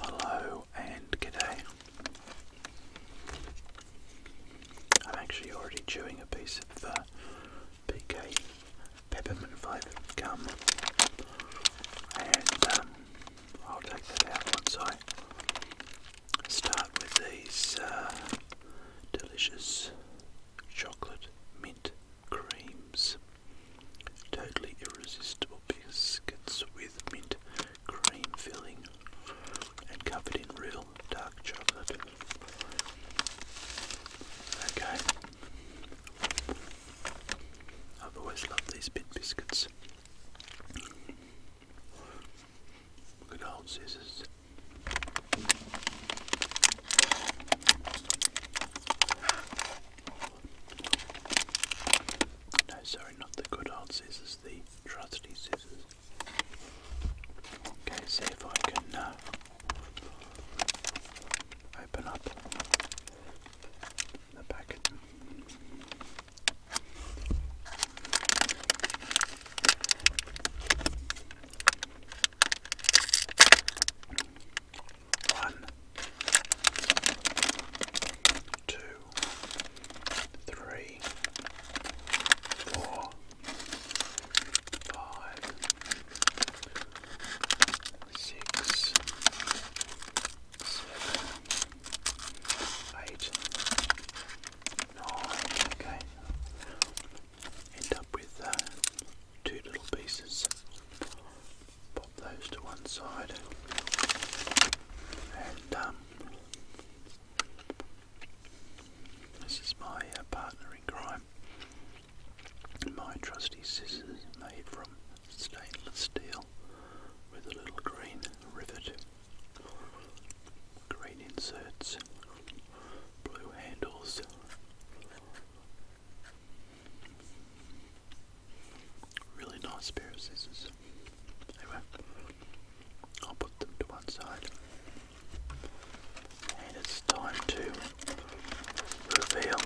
Hello and g'day. I'm actually already chewing a piece of uh, PK peppermint five gum, and um, I'll take that out once I start with these uh, delicious chocolate mint creams. Totally irresistible biscuits with mint cream filling and covered in real dark chocolate. Okay. I've always loved these bit biscuits. Good old scissors. No, sorry, not the good old scissors, the trusty scissors. Okay, see if I can uh, open up the packet. One, two, three, four, five, six, seven, eight, nine. Okay end up with uh, two little pieces. Pop those to one side and um, this is my uh, partner in crime. My trusty scissors made from stainless steel with a little green rivet green inserts, blue handles. Really nice pair of scissors. Anyway, I'll put them to one side. And it's time to reveal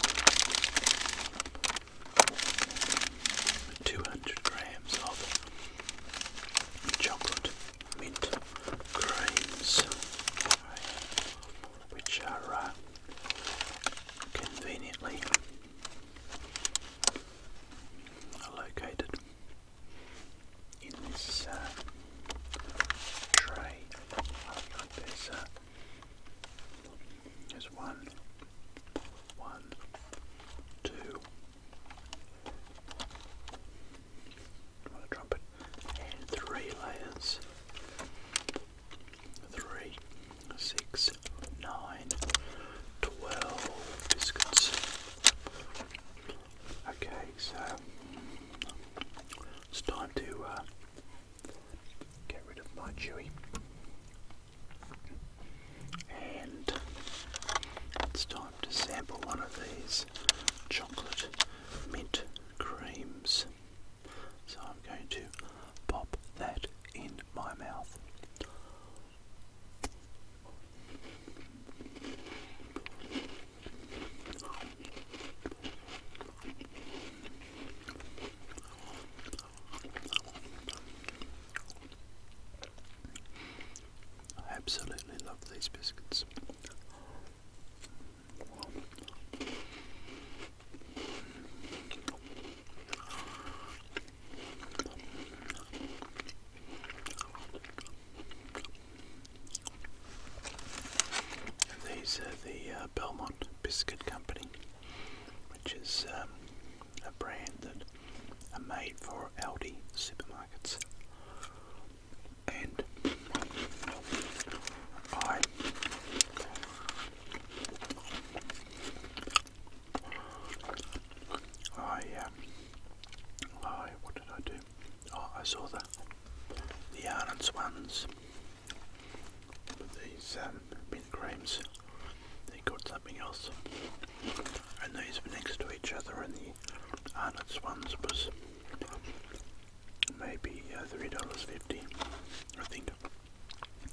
200 grams of chocolate mint creams, which are uh, conveniently located in this uh, tray. There's, uh, there's one, one, two, the trumpet, and three layers. Three, six, nine, twelve biscuits. Okay, so it's time to uh, get rid of my chewy. And it's time to sample one of these chocolate mint creams. So I'm going to pop that in my mouth. I absolutely love these biscuits these are the uh, Belmont Biscuit Company, which is um, a brand that are made for Aldi supermarkets and I I um I what did I do? Oh, I saw the the Ireland Swans these um They got something else. And these were next to each other and the Arnold Swans was maybe uh, $3.50, I think.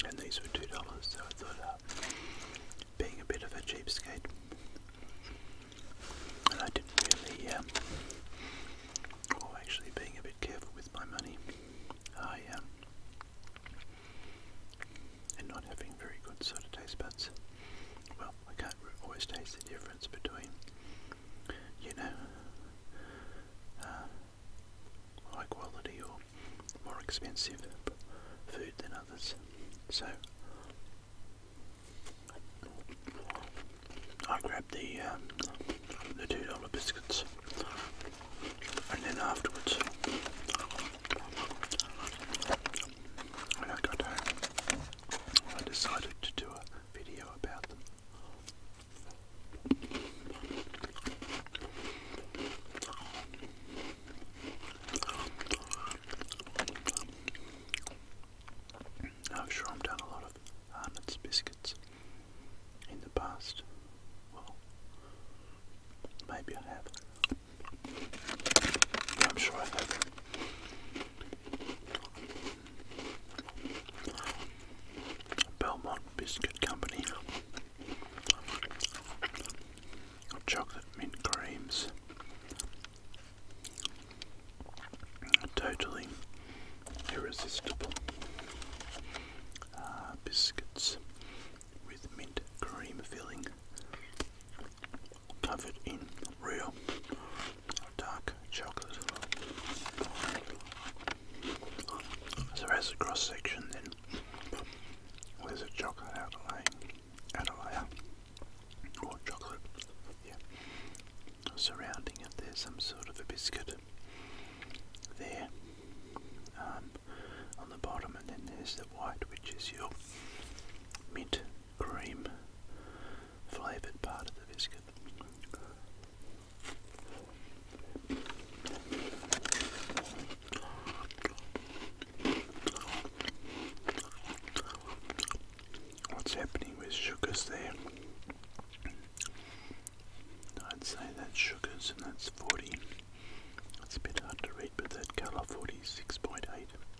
And these were $2, so I thought uh, being a bit of a cheapskate. And I didn't really, or um, actually being a bit careful with my money, I um, and not having very good sort of taste buds. Well, I can't always taste the difference between, you know, uh, high quality or more expensive food than others. So I grabbed the um, the two dollar biscuits, and then afterwards, I got I decided to do a video about them. I'm sure I've done a lot of Arnott's biscuits in the past. Well, maybe I have. I'm sure I have. Belmont Biscuit Company chocolate mint creams totally irresistible uh, biscuits with mint cream filling covered in real dark chocolate. So as a cross section then there's a chocolate outlay, outer layer, or chocolate, yeah. Surrounding it there's some sort of a biscuit there um, on the bottom and then there's the white which is your mint cream flavoured part of the biscuit. What's happening with sugars there? I'd say that's sugars and that's 40. It's a bit hard to read, but that colour 46.8.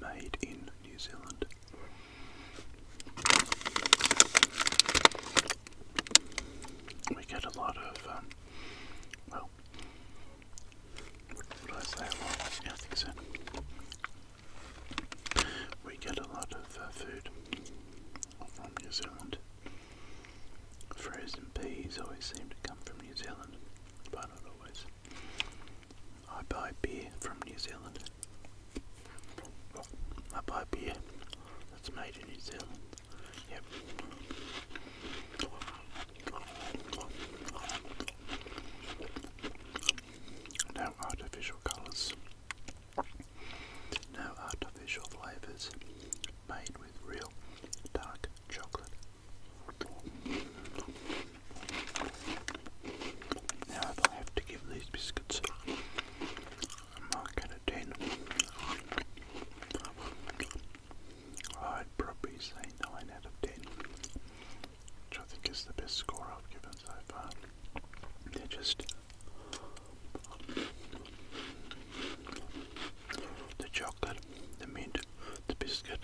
Made in New Zealand. We get a lot of, um, well, would I say I think so. We get a lot of uh, food from New Zealand. Frozen peas always seem to come from New Zealand, but not always. I buy beer from New Zealand. I buy beer that's made in New Zealand. Yep. No artificial colours. No artificial flavours. Made with real dark chocolate. Now if I have to give these biscuits a mark out of 10, I'd probably say 9 out of 10, which I think is the best score I've given so far. They're just the chocolate, the mint, the biscuit,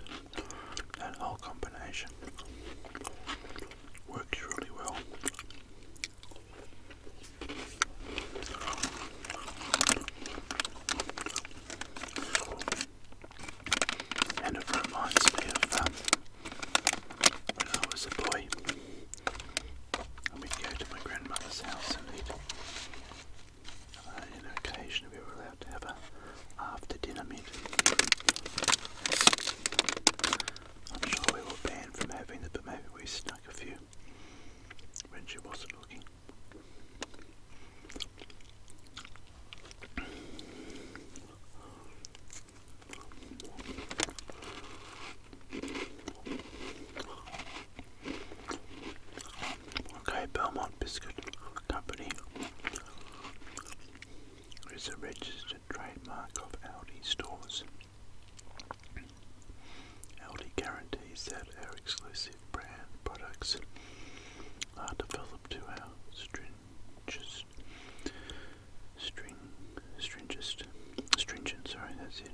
that whole combination works really well. And it reminds me of um, when I was a boy, and we'd go to my grandmother's house and eat uh, you we were allowed to have an after dinner meeting. I'm sure we were banned from having it, but maybe we snuck a few when she wasn't looking. Okay, Belmont Biscuit Company is a registered trademark of Aldi stores. Aldi guarantees that our exclusive brand products are developed to our stringest, string, stringest, stringent, sorry, that's it,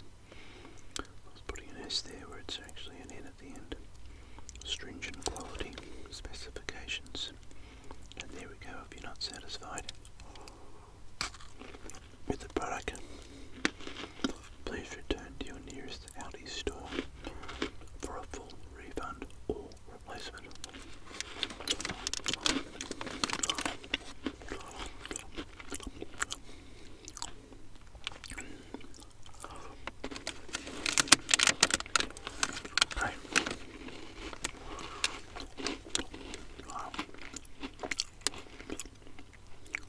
it's putting an S there where it's actually an N at the end. Stringent quality specifications. And there we go, if you're not satisfied with the product, please return to your nearest Audi store for a full refund or replacement. Wow.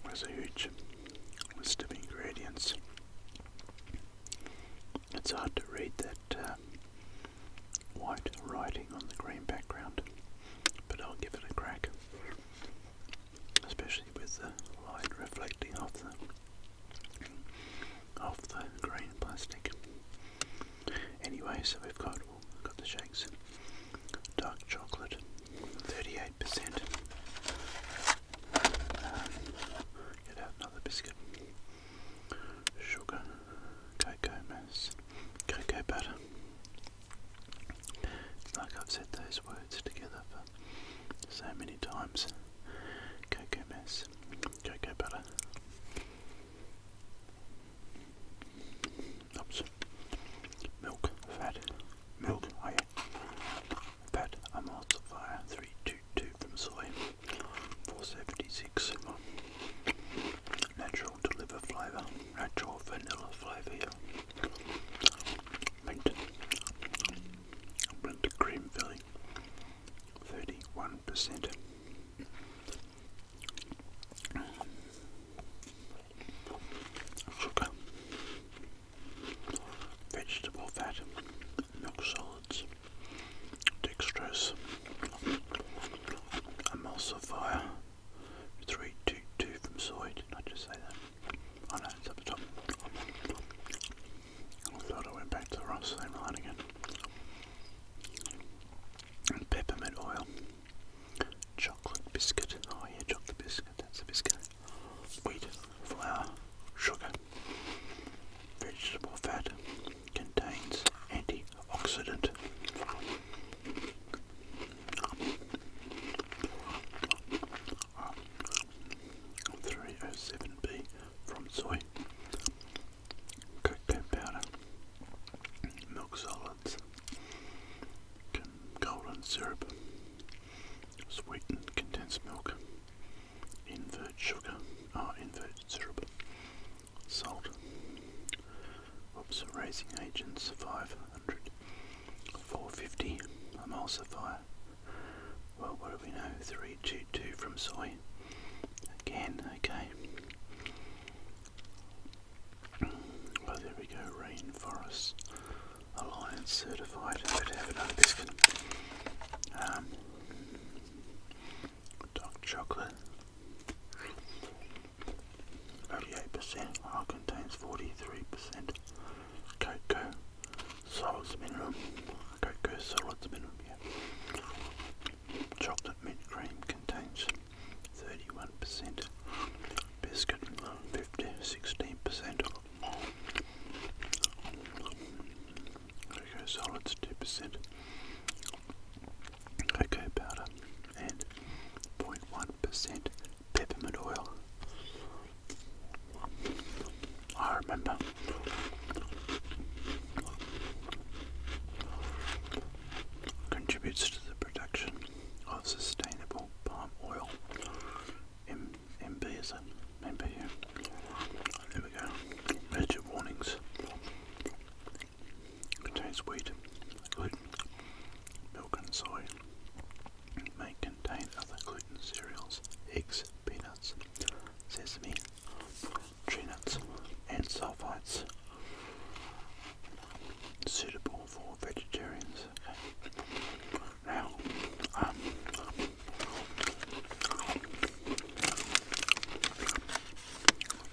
There's a huge list of ingredients. It's hard to read that uh, white writing on the green background, but I'll give it a crack especially with the light reflecting off the off the green plastic. Anyway, so we've got oh, we've got the shakes. Dark chocolate, 38%. Um, get out another biscuit. Sugar, cocoa mass, cocoa butter. It's like I've said those words together so many times. Cocoa mess, cocoa butter. Oops. Milk, fat, milk, oh yeah. Fat, a 322 from soy, 476. Natural to flavour, natural vanilla flavour mint, mint cream filling, 31%. Sugar, vegetable fat, milk solids, dextrose, emulsifier, 322 from soy, did I just say that? I oh, know it's at the top. I oh, thought I went back to the right same line again. And peppermint oil. Chocolate biscuit. Oh yeah, chocolate biscuit. That's a biscuit. Wheat, flour, sugar, vegetable fat. Contains antioxidant. 307B from soy, cocoa powder, milk solids, golden syrup, sweetened condensed milk, invert sugar, oh, invert syrup, salt, oops, raising agents 5 400, 450, emulsifier. Well, what do we know? 322 from soy. Again, okay. Well, there we go. Rainforest Alliance certified. Better have another biscuit. Um, dark chocolate. 38% contains 43% cocoa solids mineral, cocoa solids mineral, yeah. Chocolate mint cream contains 31%, biscuit 50, percent cocoa solids 2%, cocoa powder and 0.1% peppermint oil. I remember contributes to the production of sustainable palm oil. M MB is a MB. There we go. Major warnings. Contains wheat, gluten, milk and soy may contain other gluten cereals, eggs, peanuts, sesame, tree nuts, and sulfites suitable for vegetarians. Now, um,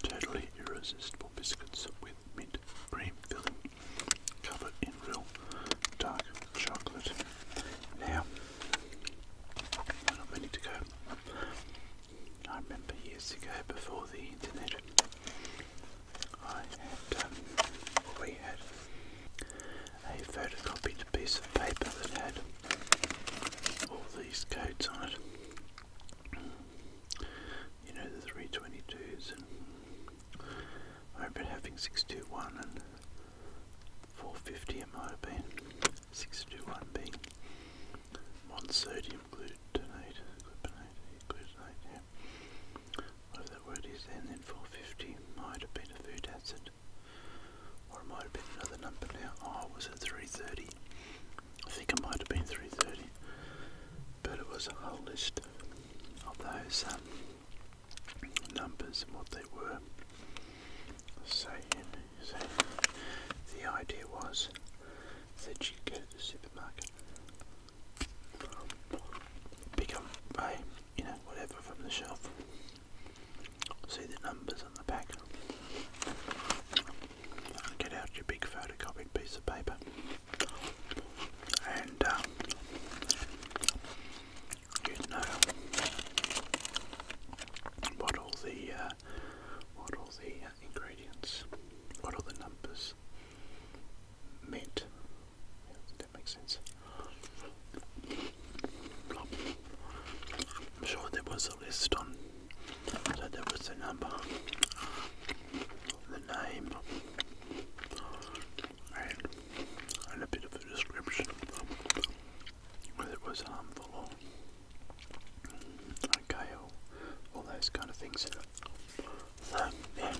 totally irresistible biscuits with mint cream filling covered in real dark chocolate. Now, not many to go. I remember years ago, before the internet, I had, um, we had a photocopied piece of paper that had all these codes on it. You know, the 322s and I've been having 621 and 450 it might have been. 621 being monosodium glutamate, glutamate, glutamate, yeah. Whatever that word is then, then 450 might have been a food acid. Or it might have been another number now. Oh, was it 330? I think it might have been 330. But it was a whole list of of those um, numbers and what they were. So, so the idea was that you go to the supermarket, pick up a you know whatever from the shelf, see the numbers on the back, and get out your big photocopied piece of paper and um, you know what all the uh, what all the uh, ingredients, what all the numbers meant. that makes sense. I'm sure there was a list on, so there was a number the name and, a bit of a description whether it was harmful okay all those kind of things. So yeah.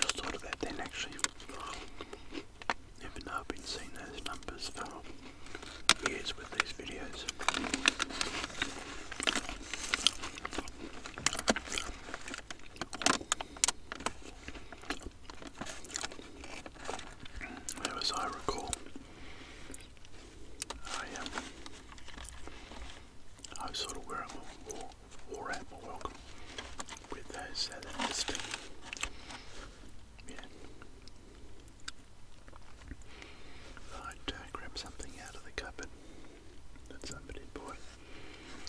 just thought of that then actually. Even though I've been seeing those numbers for with these videos. as I recall, I um, I was sort of where I'm at my welcome with those uh, yeah, I'd uh, grab something out of the cupboard that somebody bought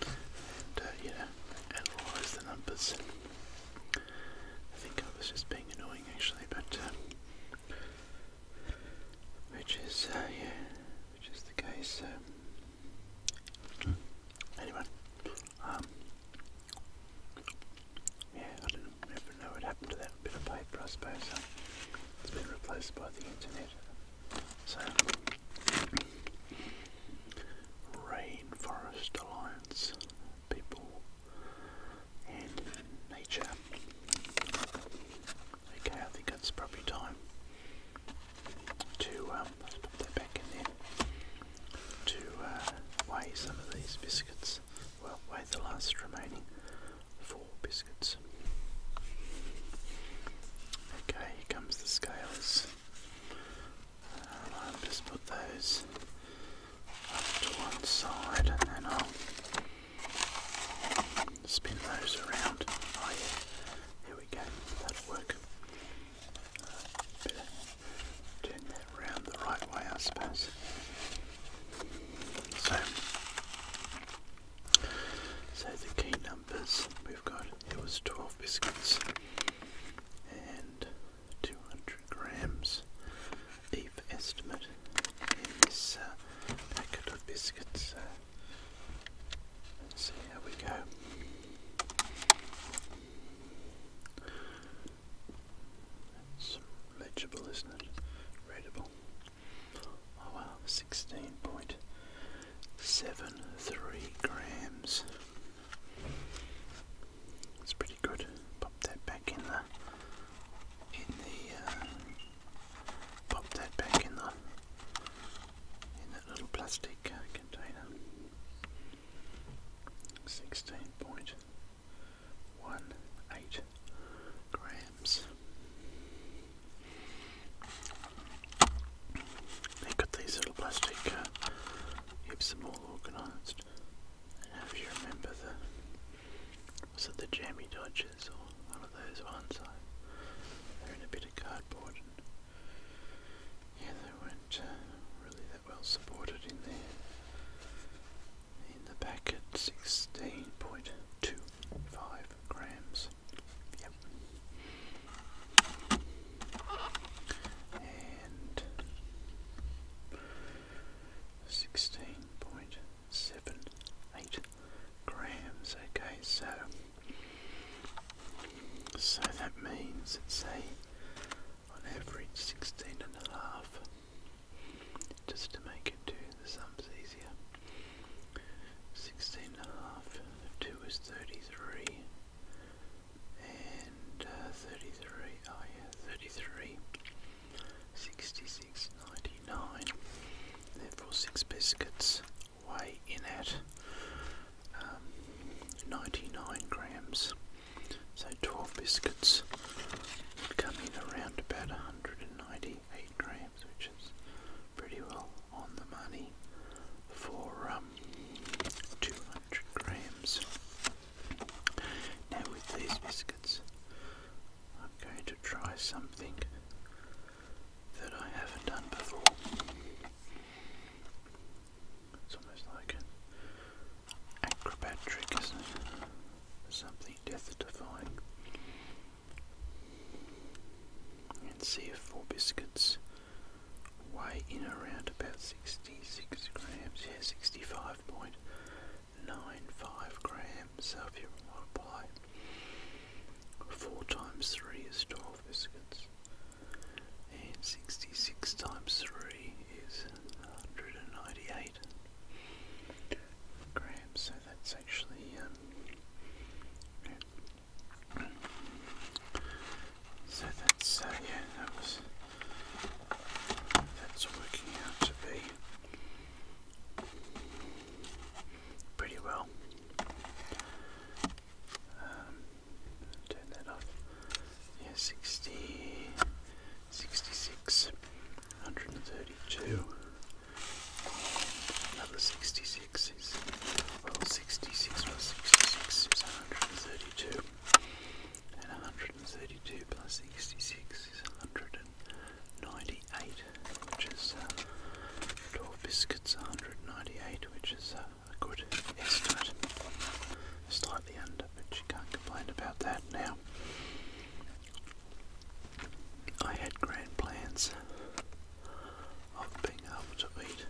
and, uh, analyse the numbers. I think I was just being annoying actually, but uh, which is, yeah, which is the case. Um, anyway, yeah, don't know never know what happened to that bit of paper, I suppose. It's been replaced by the internet. So, Rainforest Alliance, people and nature. Okay, I think it's probably time to um, back in there to uh, weigh some of these biscuits biscuits will the last remaining four biscuits. Okay, here comes the scales. Uh, I'll just put those up to one side and then I'll spin those around. Oh yeah, here we go, that'll work. Uh, better turn that around the right way I suppose. So, so the key numbers we've got it was 12 biscuits and 200 grams EVE estimate in this uh, packet of biscuits. Uh, let's see Here we go. That's legible, isn't it? Readable. Oh wow, 16.73 grams. That's pretty good. Pop that back in the in the uh, pop that back in the in that little plastic container. Sixteen point one eight grams. They've these little plastic uh, Epsom all organised. And you remember the was it the jammy dodgers or one of those ones? they're in a bit of cardboard yeah, they weren't uh, really that well supported in there in the packet 16.25 grams. Yep. And 16.78 grams. Okay, so so that means it's a on average sixteen and a half just to make it do the sums easier. 16 and a half, 2 is 33, and uh, 33, oh yeah, 33, 66, 99. Therefore, 6 biscuits weigh in at um, 99 grams. So 12 biscuits come in around about 198 grams, which is pretty well on the money for um, 200 grams. Now, with these biscuits, I'm going to try something that I haven't done before. It's almost like an acrobat trick, isn't it? something death-defying. And if 4 biscuits weigh in around about 66 grams, yeah, 65.95 grams. So if you multiply 4 times 3 is 12 biscuits, and 66 times 3 is 198 grams, so that's actually um, so that's uh, yeah that was that's working out to be pretty well. Um, turn that off. Yeah, 60, 66. 132. Another 66 is, well, 66 plus 66 is 132. And 132 plus 66 is 198, which is uh, 12 biscuits, 198, which is uh, a good estimate. Slightly under, but you can't complain about that now. I had grand plans of being able to eat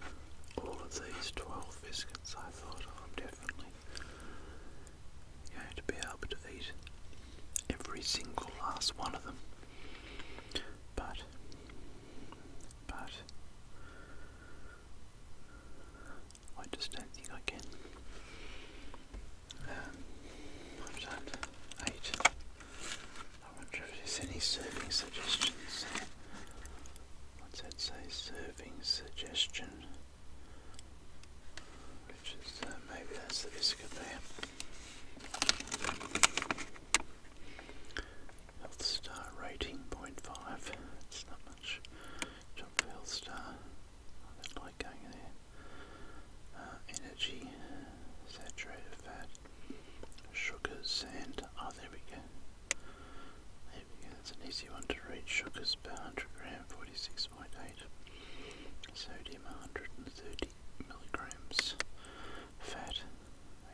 all of these 12 biscuits. I thought oh, I'm definitely going to be able to eat every single last one of them. But, but, I just don't think I can. Um, I've done eight. I wonder if there's any serving suggestions. What's that say? Serving suggestion. Which is, uh, maybe that's the biscuit there. Health star rating 0.5. It's not much. Job for star. Uh, energy, saturated fat, sugars, and oh, there we go. There we go. That's an easy one to read. Sugars per 100 gram, 46.8. Sodium, 130 milligrams. Fat,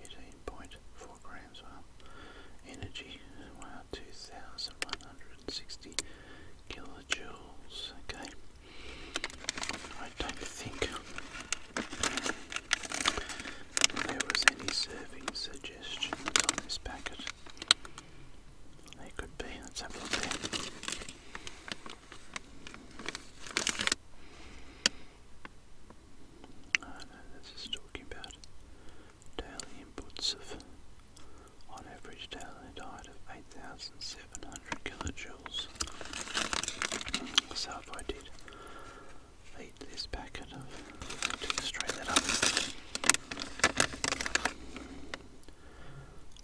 18.4 grams. Well, energy, wow, 2,100. Sixty kilojoules. Okay, I don't think there was any serving suggestions on this packet. They could be. Let's have a look there. Oh no, this is talking about daily inputs of on average, daily diet of 8,700 kilojoules. So if I did eat this packet of, to straight up,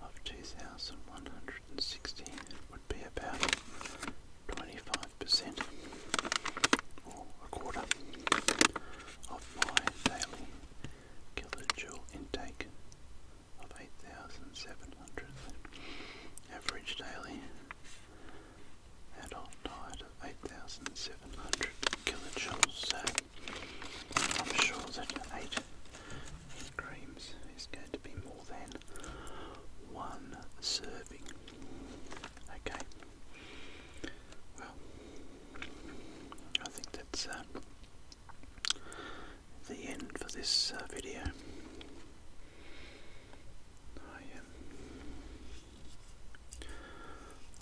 of 2,160 would be about 25% or a quarter of my daily kilojoule intake of 8,700 average daily adult diet of 8,700 kilojoules. I'm sure that 8 creams is going to be more than one serving. Okay. Well, I think that's uh, the end for this uh, video.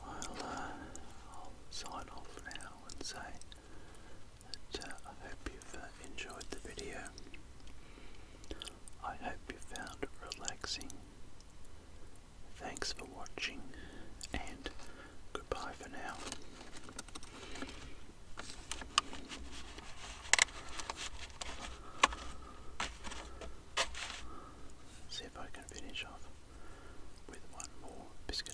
I, will um, uh, sign off now and say that uh, I hope you've enjoyed the video. I hope you found it relaxing. Thanks for watching and Goodbye for now. see if I can finish off with one more biscuit.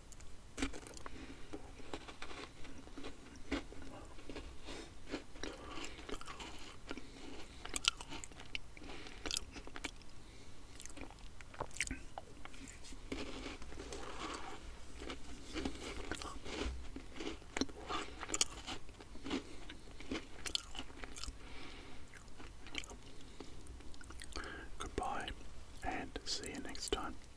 Goodbye, and see you next time.